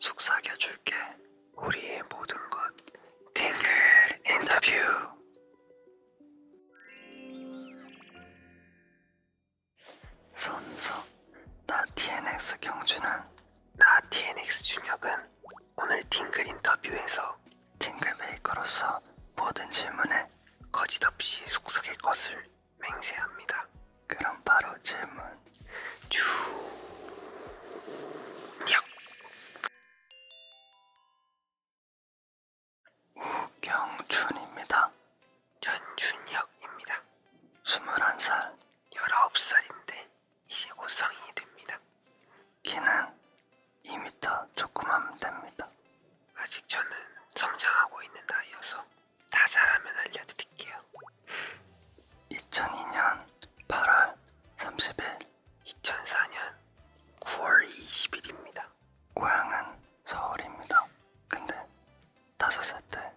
속삭여줄게. 우리의 모든 것. 팅글 인터뷰. 선서. 나 TNX 경준은. 나 TNX 준혁은 오늘 팅글 인터뷰에서 팅글 베이커로서 모든 질문에 거짓 없이 속삭일 것을 맹세합니다. 그럼 바로 질문 주. 역. 우경준입니다. 전준혁입니다. 21살, 19살인데 이제 곧 성인이 됩니다. 키는 2m 조금만 됩니다. 아직 저는 성장하고 있는 나이여서 다 잘하면 알려드릴게요. 2002년 8월 30일 2004년 9월 20일입니다. 고향은 서울입니다. 근데 5살 때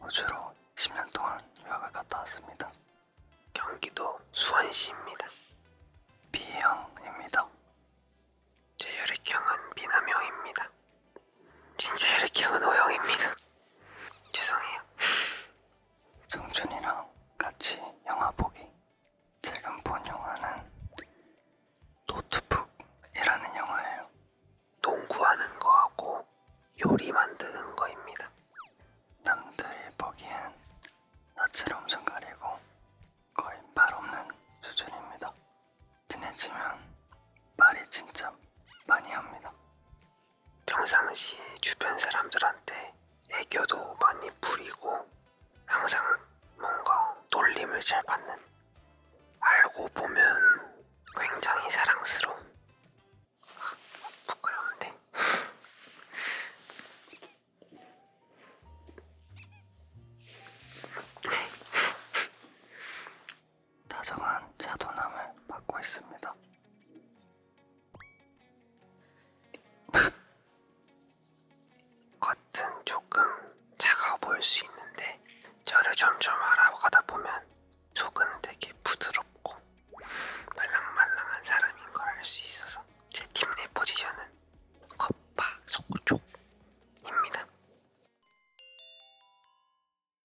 호주로 10년 동안 유학을 갔다 왔습니다. 경기도 수원시입니다. B형입니다. 제 혈액형은 B남형입니다. 진짜 혈액형은 O형입니다. 죄송해요. 정준이랑 같이 영화 보기. 지금 본 영화는 노트북이라는 영화예요. 농구하는 거하고 요리 만드는 거입니다. 남들이 보기엔 낯을 엄청 가리고 거의 말 없는 수준입니다. 친해지면 말이 진짜 많이 합니다. 평상시 주변 사람들한테 애교도 많이 부리고 항상 뭔가 놀림을 잘 받는 알고 보면 굉장히 사랑스러운 부끄러운데 다정한 자도남을 받고 있습니다. 겉은 조금 차가워 보일 수 있는데 저를 점점 알아가다 보면 속은 되게 부드럽고 말랑말랑한 사람인 걸 알 수 있어서 제 팀 내 포지션은 겉바 속쪽입니다.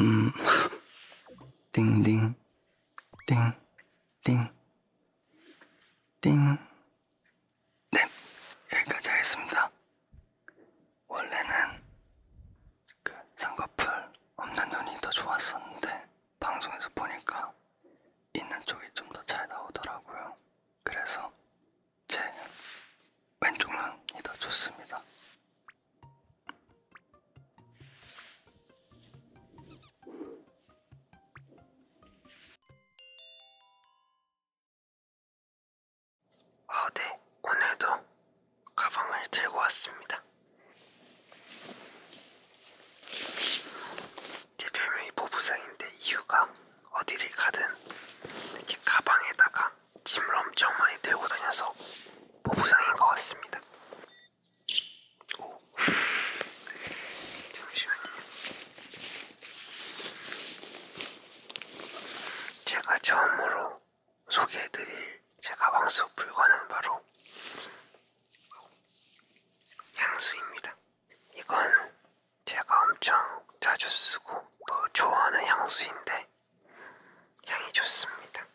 음, 띵띵, 띵, 띵, 띵. 네, 여기까지 하겠습니다. 원래는 그 쌍꺼풀 없는 눈이 더 좋았었는데 방송에서 보니까 있는 쪽이 좀 더 잘 나오더라고요. 그래서 제 왼쪽만이 더 좋습니다. 아, 네. 오늘도 가방을 들고 왔습니다. 제 별명이 보부상인데 이유가 어디를 가든 이렇게 가방에다가 짐을 엄청 많이 들고 다녀서 보부상인 것 같습니다. 오. 잠시만요. 제가 처음으로 소개해드릴 제 가방 속 물건은 바로 향수입니다. 이건 제가 엄청 자주 쓰고 또 좋아하는 향수인데 향이 좋습니다.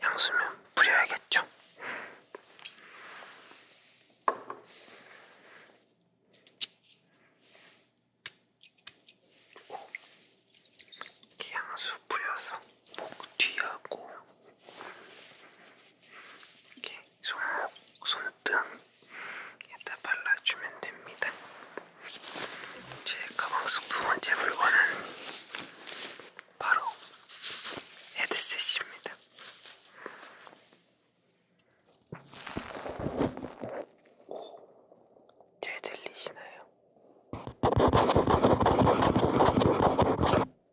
향수면 뿌려야겠죠? 이렇게 향수 뿌려서 목 뒤하고 이렇게 손, 손등에다 발라주면 됩니다. 제 가방 속 두 번째 물건은 바로 헤드셋입니다. 오, 잘 들리시나요?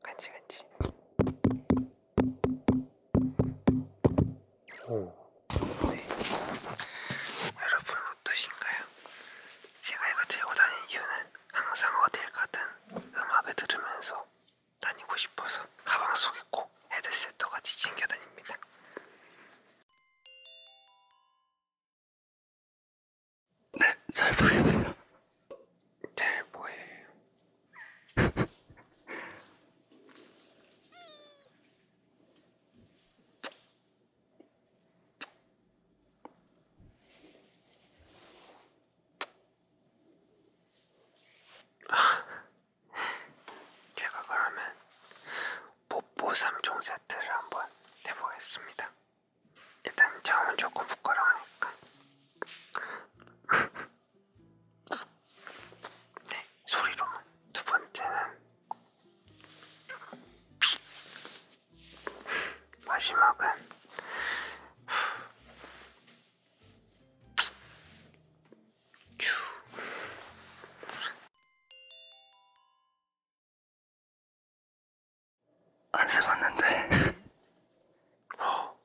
간지간지. 오. 여러분 어떠신가요? 제가 이거 들고 다니는 이유는 항상 어딜 가든 음악을 들으면서 다니고 싶어서 가방 속에 꼭 헤드셋도 같이 챙겨 다닙니다. 네, 잘 보입니다. 잘 보여요. 제가 그러면 뽀뽀 3종 세트를 한번 해보겠습니다. 일단 저은 조금 부끄러우니까. 네, 소리로. 두 번째는 마지막은 큐. 안 써봤는데 어,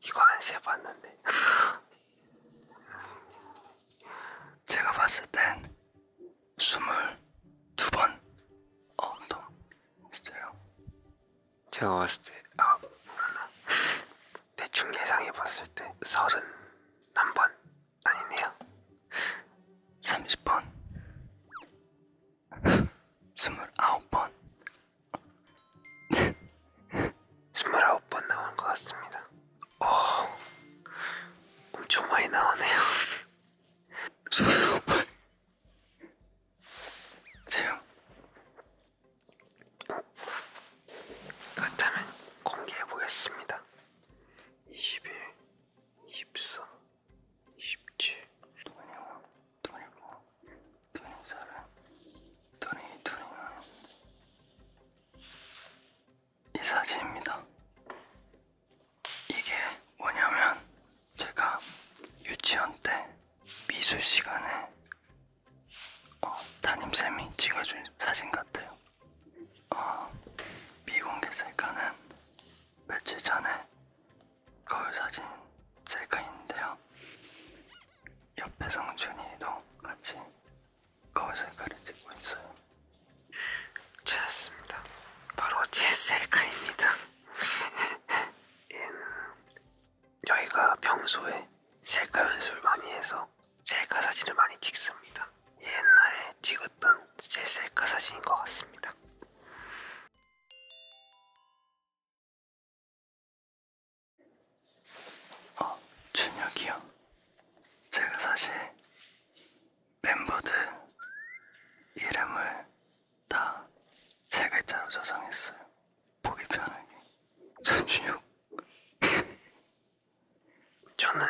이거 안 세봤는데. 제가 봤을 땐 스물 두 번. 어, 또 있어요. 제가 봤을 때, 아, 뭐구나. 대충 예상해 봤을 때 서른 한 번. 아니네요. 30번. 29번. 스물아홉 번 나온 것 같습니다. 오, 어, 엄청 많이 나오네요. 스물아홉 번. 제가 그렇다면 공개해 보겠습니다. 21, 23, 27, 26, 25, 이 사진입니다. 이게 뭐냐면 제가 유치원 때 미술 시간에 어, 담임쌤이 찍어준 사진 같아요. 어, 미공개 셀카는 며칠 전에 거울 사진 셀카인데요. 옆에 성준이도 같이 거울을 가르치고 있어요. 좋았습니다. 바로 GSL카입니다. 저희가 평소에 셀카 연습을 많이 해서 셀카 사진을 많이 찍습니다. 옛날에 찍었던 제 셀카 사진인 것 같습니다. 어, 준혁이요? 제가 사실 멤버들 이름을 다 세 글자로 저장했어요. 보기 편하게. 전준혁. 저는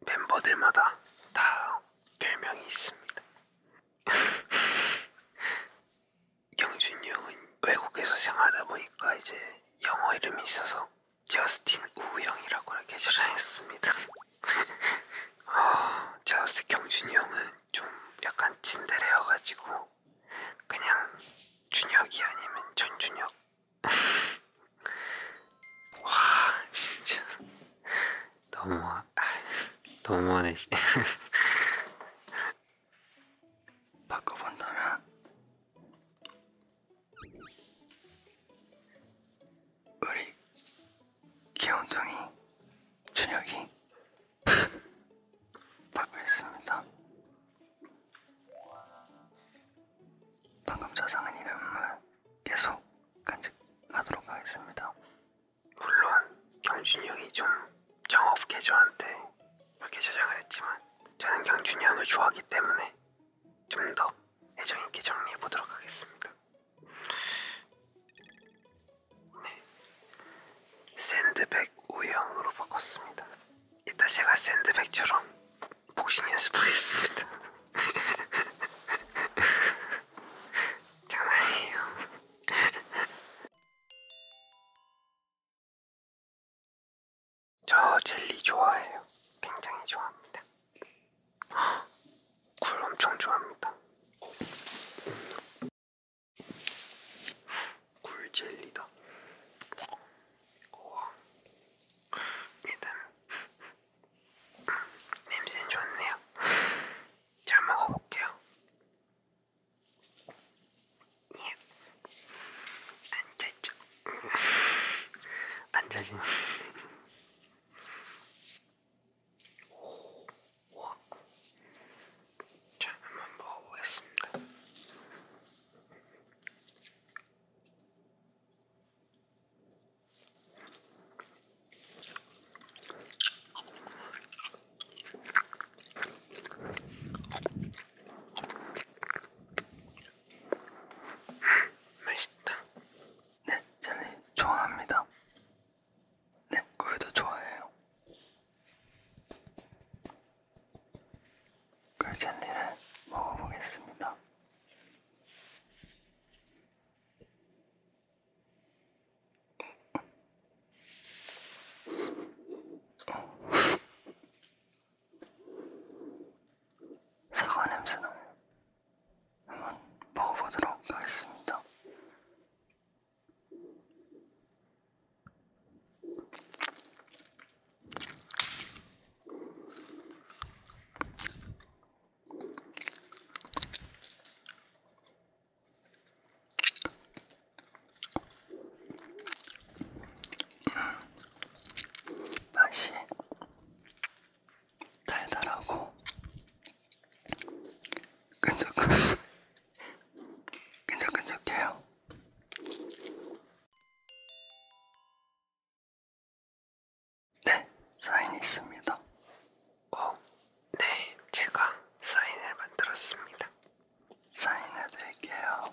멤버들마다 다 별명이 네 있습니다. 경준이 형은 외국에서 생활하다 보니까 이제 영어 이름이 있어서 저스틴 우형이라고 이렇게 저장했습니다. 어, 제가 봤을 때 경준이 형은 좀 약간 찐데레여가지고 그냥 준혁이 아니면 전준혁. 와 진짜 너무 아, 너무하네. 바꿔본다면 우리 귀염둥이 준혁이 바꾸겠습니다. 방금 저장한 이름을 계속 간직하도록 하겠습니다. 물론 경준이 형이 좀 정업 계좌한테 그렇게 저장을 했지만 저는 경준이 형을 좋아하기 때문에 좀 더 애정 있게 정리해 보도록 하겠습니다. 네, 샌드백 우영으로 바꿨습니다. 이따 제가 샌드백처럼 복싱 연습하겠습니다. 장난이에요. 저 젤리 좋아해요. 굉장히 좋아합니다. 굴 엄청 좋아합니다. 굴 젤리다. 우와. 일단 냄새는 좋네요. 잘 먹어볼게요. 앉아있죠. 앉아있 오, 와. 자, 한번 먹어보겠습니다. 맛있다. 네, 젤리 좋아합니다. 네, 꿀도 좋아해요. 꿀 그 젤리를 먹어보겠습니다. 사과 냄새나 한번 먹어보도록 하겠습니다. 맛이 달달하고 끈적끈 끈적끈적해요. 네, 사인이 있습니다. 오, 어, 네, 제가 사인을 만들었습니다. 사인해 드릴게요.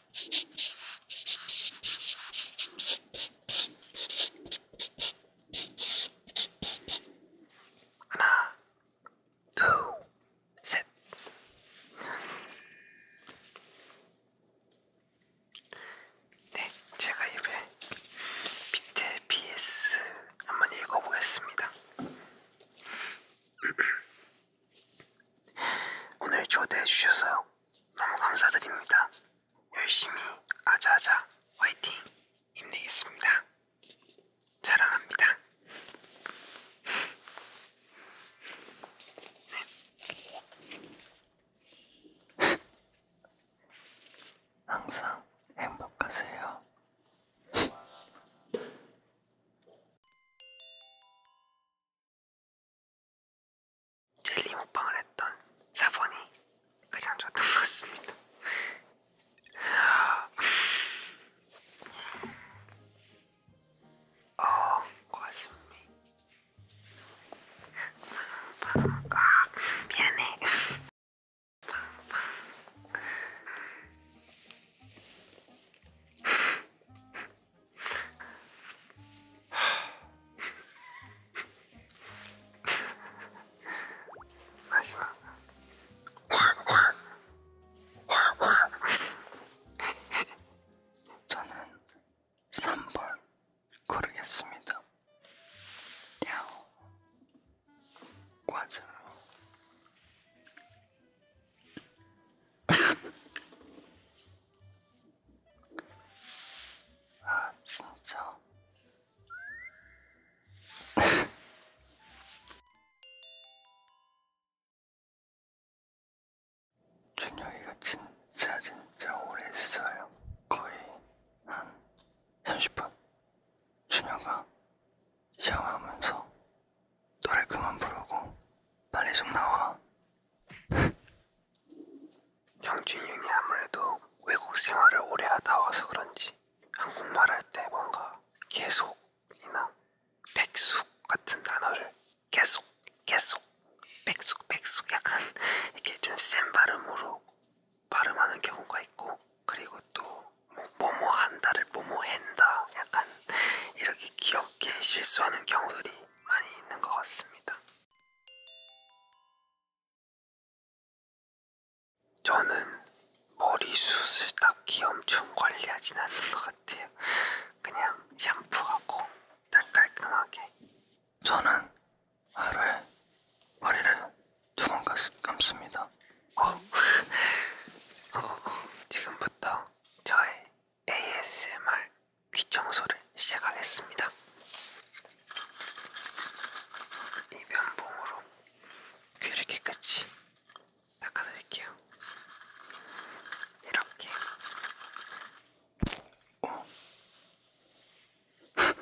하나, 둘, 셋. 네, 제가 입을 밑에 PS 한번 읽어보겠습니다. 오늘 초대해 주셔서 너무 감사드립니다. 열심히 아자아자 화이팅 힘내겠습니다. 자랑합니다. 네. 항상 행복하세요. 젤리 먹방을 했던 4번이 가장 좋았던 것 같습니다. 어, 과신미. 팡팡. 아, 미안해. 팡팡. 마지막 저는 3번 고르겠습니다. 야호 과자 아 진짜 준혁이가 진짜 진짜 오래 했어요 거의 한 30분 준혁아 샤워하면서 노래 그만 부르고 빨리 좀 나와 경준형이 아무래도 외국 생활을 오래 하다 와서 그런지 한국말 할 때 뭔가 계속이나 백숙 같은 단어를 계속 계속 백숙 백숙 약간 이렇게 좀 센 발음으로 발음하는 경우가 있고 그리고 또 뭐, 뭐뭐 뭐 한다를 뭐뭐 한다 약간 이렇게 귀엽게 실수하는 경우들이 많이 있는 것 같습니다. 저는 머리숱을 딱히 엄청 관리하진 않는 것 같아요. 그냥 샴푸하고 딱 깔끔하게. 저는 하루에 머리를 두 번 감습니다. 어. 어, 지금부터 저의 ASMR 귀 청소를 시작하겠습니다. 이 면봉으로 귀를 깨끗이 닦아드릴게요. 이렇게. 어. 어.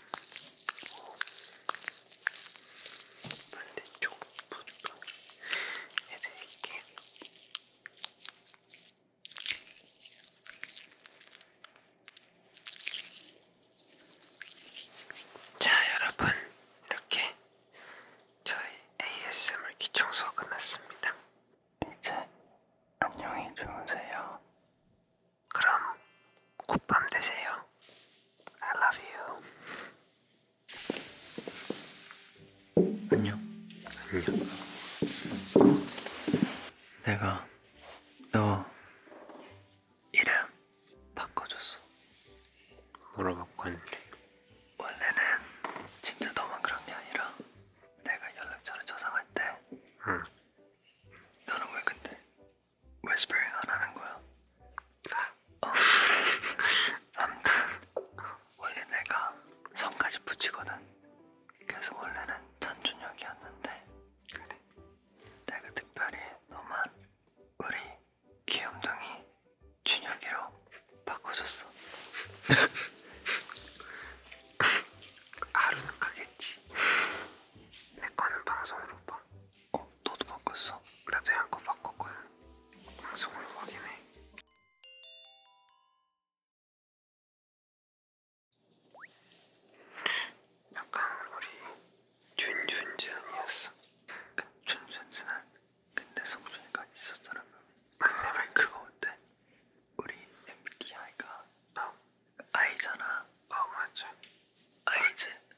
반대쪽 부분 해드릴게요. 자, 여러분, 이렇게 저희 ASMR 기청소 끝났습니다. 이제 안녕히 주무세요. 그럼 굿밤 되세요. I love you. 안녕. 안녕. 내가 너 이름 바꿔줬어. 뭐로 바꿨는데? 원래는 진짜 너만 그런 게 아니라 내가 연락처를 저장할 때. 응. 너는 왜 근데 whispering 안 하는 거야? 어. 아무튼 원래 내가 성까지 붙이거든. 그래서 원래는 전준혁이었는데 그래. 내가 특별히 너만 우리 귀염둥이 준혁이로 바꿔줬어. 하루는 가겠지. 내 거는 방송으로 봐. 어? 너도 바꿨어? 나도 한거 바꿨거든 방송으로 확인해 약간 우리 준준준이었어 준준준한 그러니까 근데 성준이가 있었잖아 근데 왜 그거 어때? 우리 MBTI가 어. I잖아 어 맞아 아이즈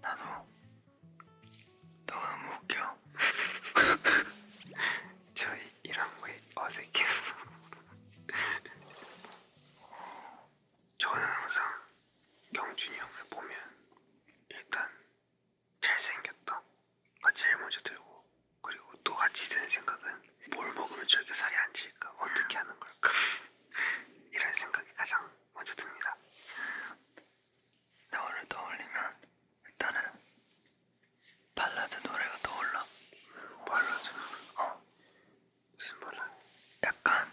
나도 너무 웃겨. 저 이런 거에 어색해서. 저는 항상 경준이 형을 보면 일단 잘생겼다. 가 아, 제일 먼저 들고 그리고 또 같이 드는 생각은 뭘 먹으면 저렇게 살이 안 찔까? 어떻게 하는 걸까? 이런 생각이 가장 먼저 듭니다. 겨울을 떠올리면 일단은 발라드 노래가 떠올라. 발라드? 어. 무슨 발라드? 약간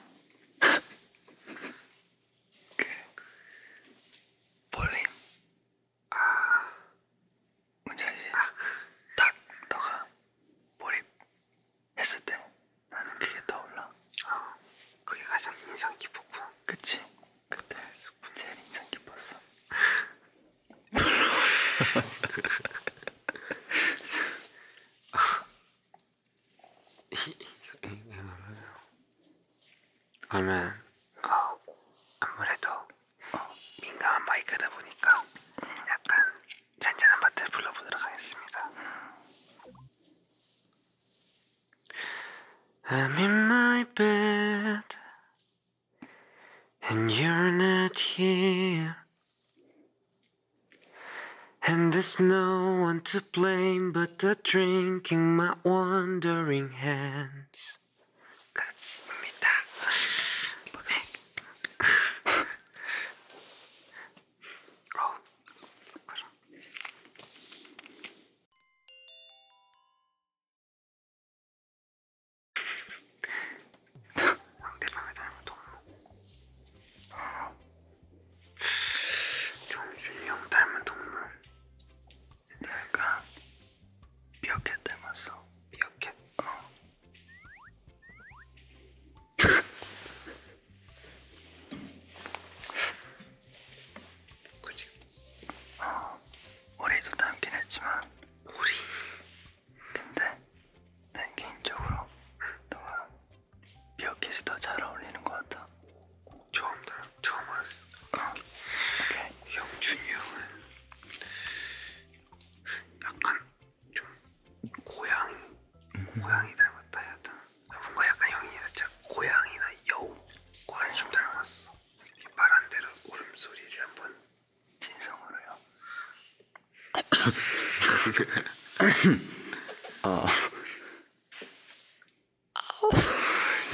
그 볼링. 아. 뭔지 알지? 아. 그. 딱 너가 몰입 했을 때 나는 그게 떠올라. 아, 그게 가장 인상 깊었구나. 그치? 그때 제일 인상 깊었어. 그러면 어, 아무래도 어. 민감한 마이크다 보니까 약간 하겠습니다. I'm in my bed and you're not here and there's no one to blame but the drink in my wandering hands. 까지입니다. 상대방의 잘못 없는 정준이 형 닮은 동물. 근데 약간 미어캣 닮았어. 미어캣. 어. 그치? 어, 머리도 닮긴 했지만 머리 근데 난 개인적으로 너가 미어캣이 더잘 어울리는 것 같아 처음 들어 처음 알았어 어. 오케이 형준이 형은 약간 좀 고양이 음. 고양이 닮았다 해야 되나? 뭔가 약간 형이 살짝 고양이나 여우 고양이 좀 닮았어 이 말한 대로 울음소리를 한번 진성으로요 아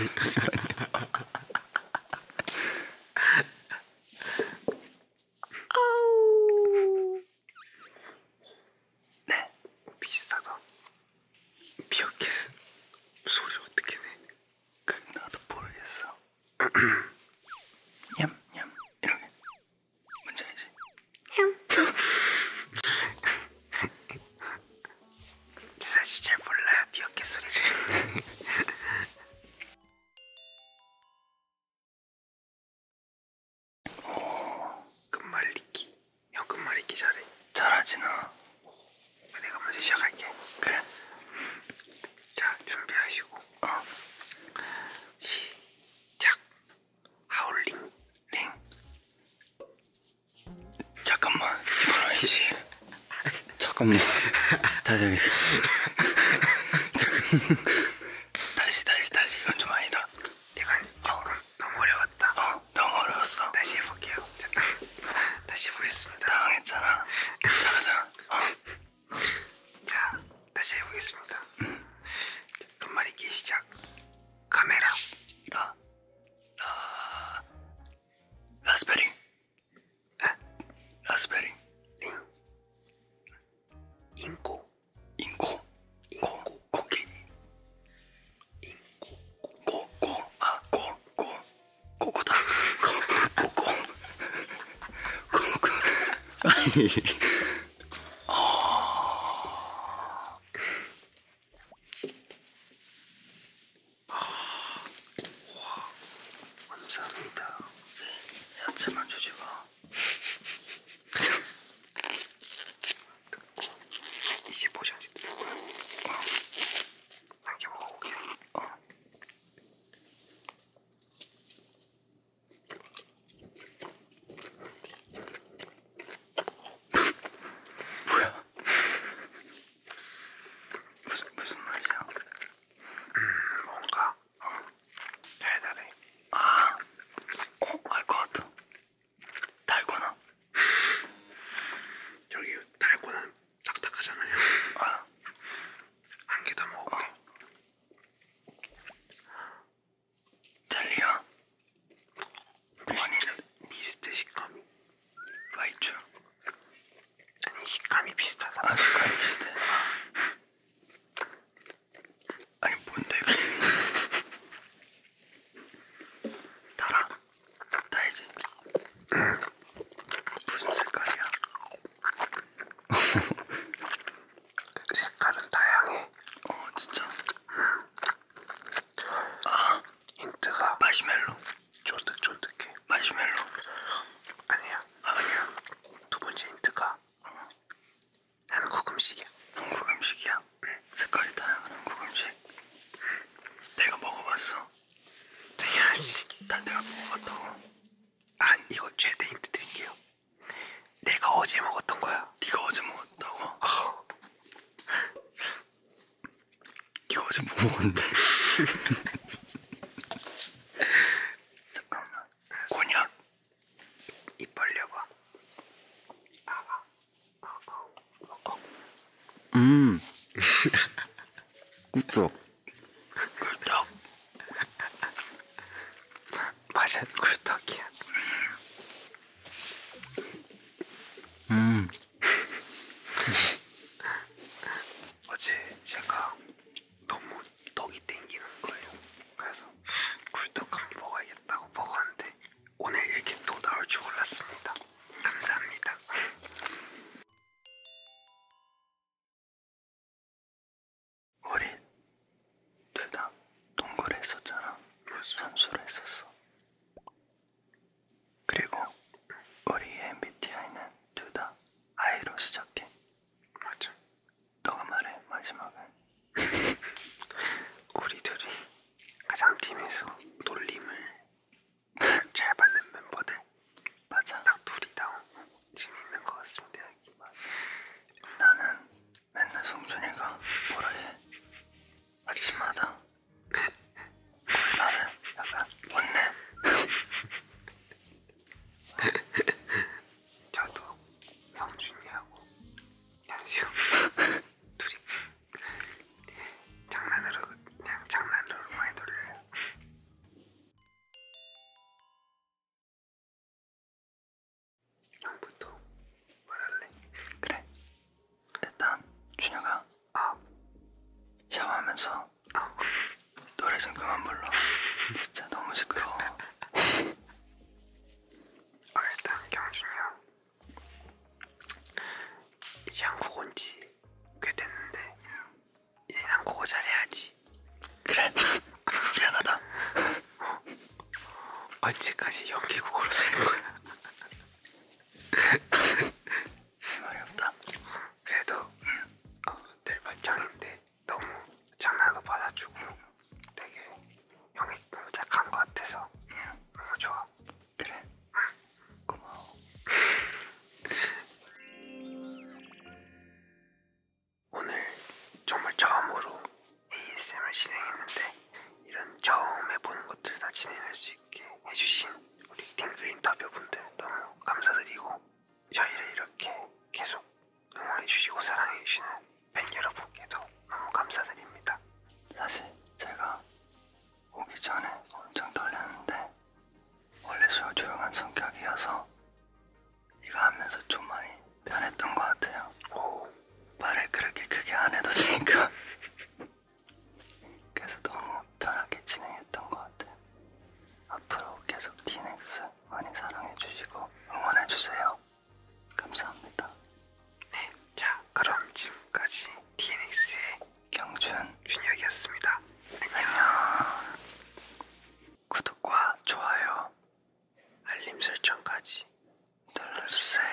잠시만요 아우. 네, 비싸다. 미어캣은 소리 어떻게 내? 그 나도 모르겠어. 냠냠 이런 게 뭔지 알지? 냠. 사실 잘 몰라요 미어캣 소리를. 끝말잇기 형 끝말잇기 잘해 잘하지 나 내가 먼저 시작할게 그래 자 준비하시고 어. 시작 하울링 땡 잠깐만 이걸 해야지 잠깐만 다시 하겠습니다 다시 다시 다시 이건 좀 아니다 이건 조금 너무 어려웠다. 어, 너무 어려웠어. 다시 해볼게요. 자, 다시 해보겠습니다. 당황했잖아. 잘하잖아. 어. 자, 다시 해보겠습니다. 음. 끝말잇기 시작. 카메라. 라. 라. 라스베리. 에? 라스베리. 링. 인코. 인코 코 코끼리 코코아코코 아, 코코다 코코 코코 아니 아. 감사합니다. 네, 야채만 주지 마. 25시간씩 듣고요. 어. 이렇게 먹어볼게. 어. 뭐야? 무슨 무슨 말이야? 음, 뭔가. 어. 달달해. 아, 어, 알것 같아. 달고나 저기 달고나 딱딱하잖아요. 아. 한개 더 먹을게. 어. 잘리야. 비슷해. 비슷해 식감이. 맞죠? 아니 식감이 비슷하다. 아, 식감이 비슷해. 아니 뭔데 이거 달아? 달지? 무슨 색깔이야? 색깔은 다양해 어 진짜? 아 힌트가 마시멜로 쫀득쫀득해 마시멜로 아니야 아, 아니야 두 번째 힌트가 어. 한국 음식이야. 한국 음식이야? 응. 색깔이 다양한 한국 음식. 내가 먹어봤어. 당연하지. 난 내가 먹어봤다고. 안 이거 최대 힌트 드릴게요. 내가 어제 먹었던 거야. 네가 어제 먹었다고? 어. 네가 어제 뭐 먹었는데? 잠깐만. 곤약. 입 벌려봐. 아. 음. 꿀떡. 꿀떡. 맛은 꿀떡이야. 음. 어제 제가 너무 떡이 땡기는 거예요. 그래서 꿀떡 한번 먹어야겠다고 먹었는데 오늘 이렇게 또 나올 줄 몰랐습니다. 감사합니다. 우리 둘다 농구를 했었잖아. 선수를 했었어. 그리고 우리 MBTI는 둘다 I로 시작해. 맞아. 너가 말해 마지막은. 우리들이 가장 팀에서 놀림을 잘 받는 멤버들 맞아 딱 둘이 다 지금 있는 것 같습니다 여기 맞아 나는 맨날 성준이가 뭐라 해 아침마다 나는 약간 못내 저도 성준이하고 연시형 둘이 장난으로 그냥 장난으로 많이 놀려요. 형부터 말할래? 그래. 일단 준혁아. 어. 샤워하면서 어. 노래 좀 그만 불러. 진짜 너무 시끄러워. 어, 일단 경준이 형 이제 한국 온지 꽤 됐는데 이제 한국어 잘해야지 그래 미안하다 어. 언제까지 연기국으로 살거야 어렵다 그래도 어, 늘 발전인데 너무 장난도 받아주고 되게 형이 너무 착한 것 같아서 응. 너무 어, 좋아. 그래. 응. 고마워. 오늘 정말 처음으로 ASM을 진행했는데 이런 처음 해보는 것들 다 진행할 수 있게 해주신 우리 딩글 인터뷰분들 너무 감사드리고 저희를 이렇게 계속 응원해주시고 사랑해주시는 팬 여러분께도 너무 감사드립니다. 사실 제가 오기 전에 엄청 떨렸는데 원래 저 조용한 성격이어서 이거 하면서 좀 많이 변했던 것 같아요. 오. 말을 그렇게 크게 안 해도 되니까 그래서 너무 편하게 진행했던 것 같아요. 앞으로 계속 디넥스 많이 사랑해주시고 응원해주세요. 감사합니다. 네, 자 그럼 지금까지 DNX의 경준 준혁이었습니다. 안녕. 구독과 좋아요, 알림 설정까지 눌러주세요.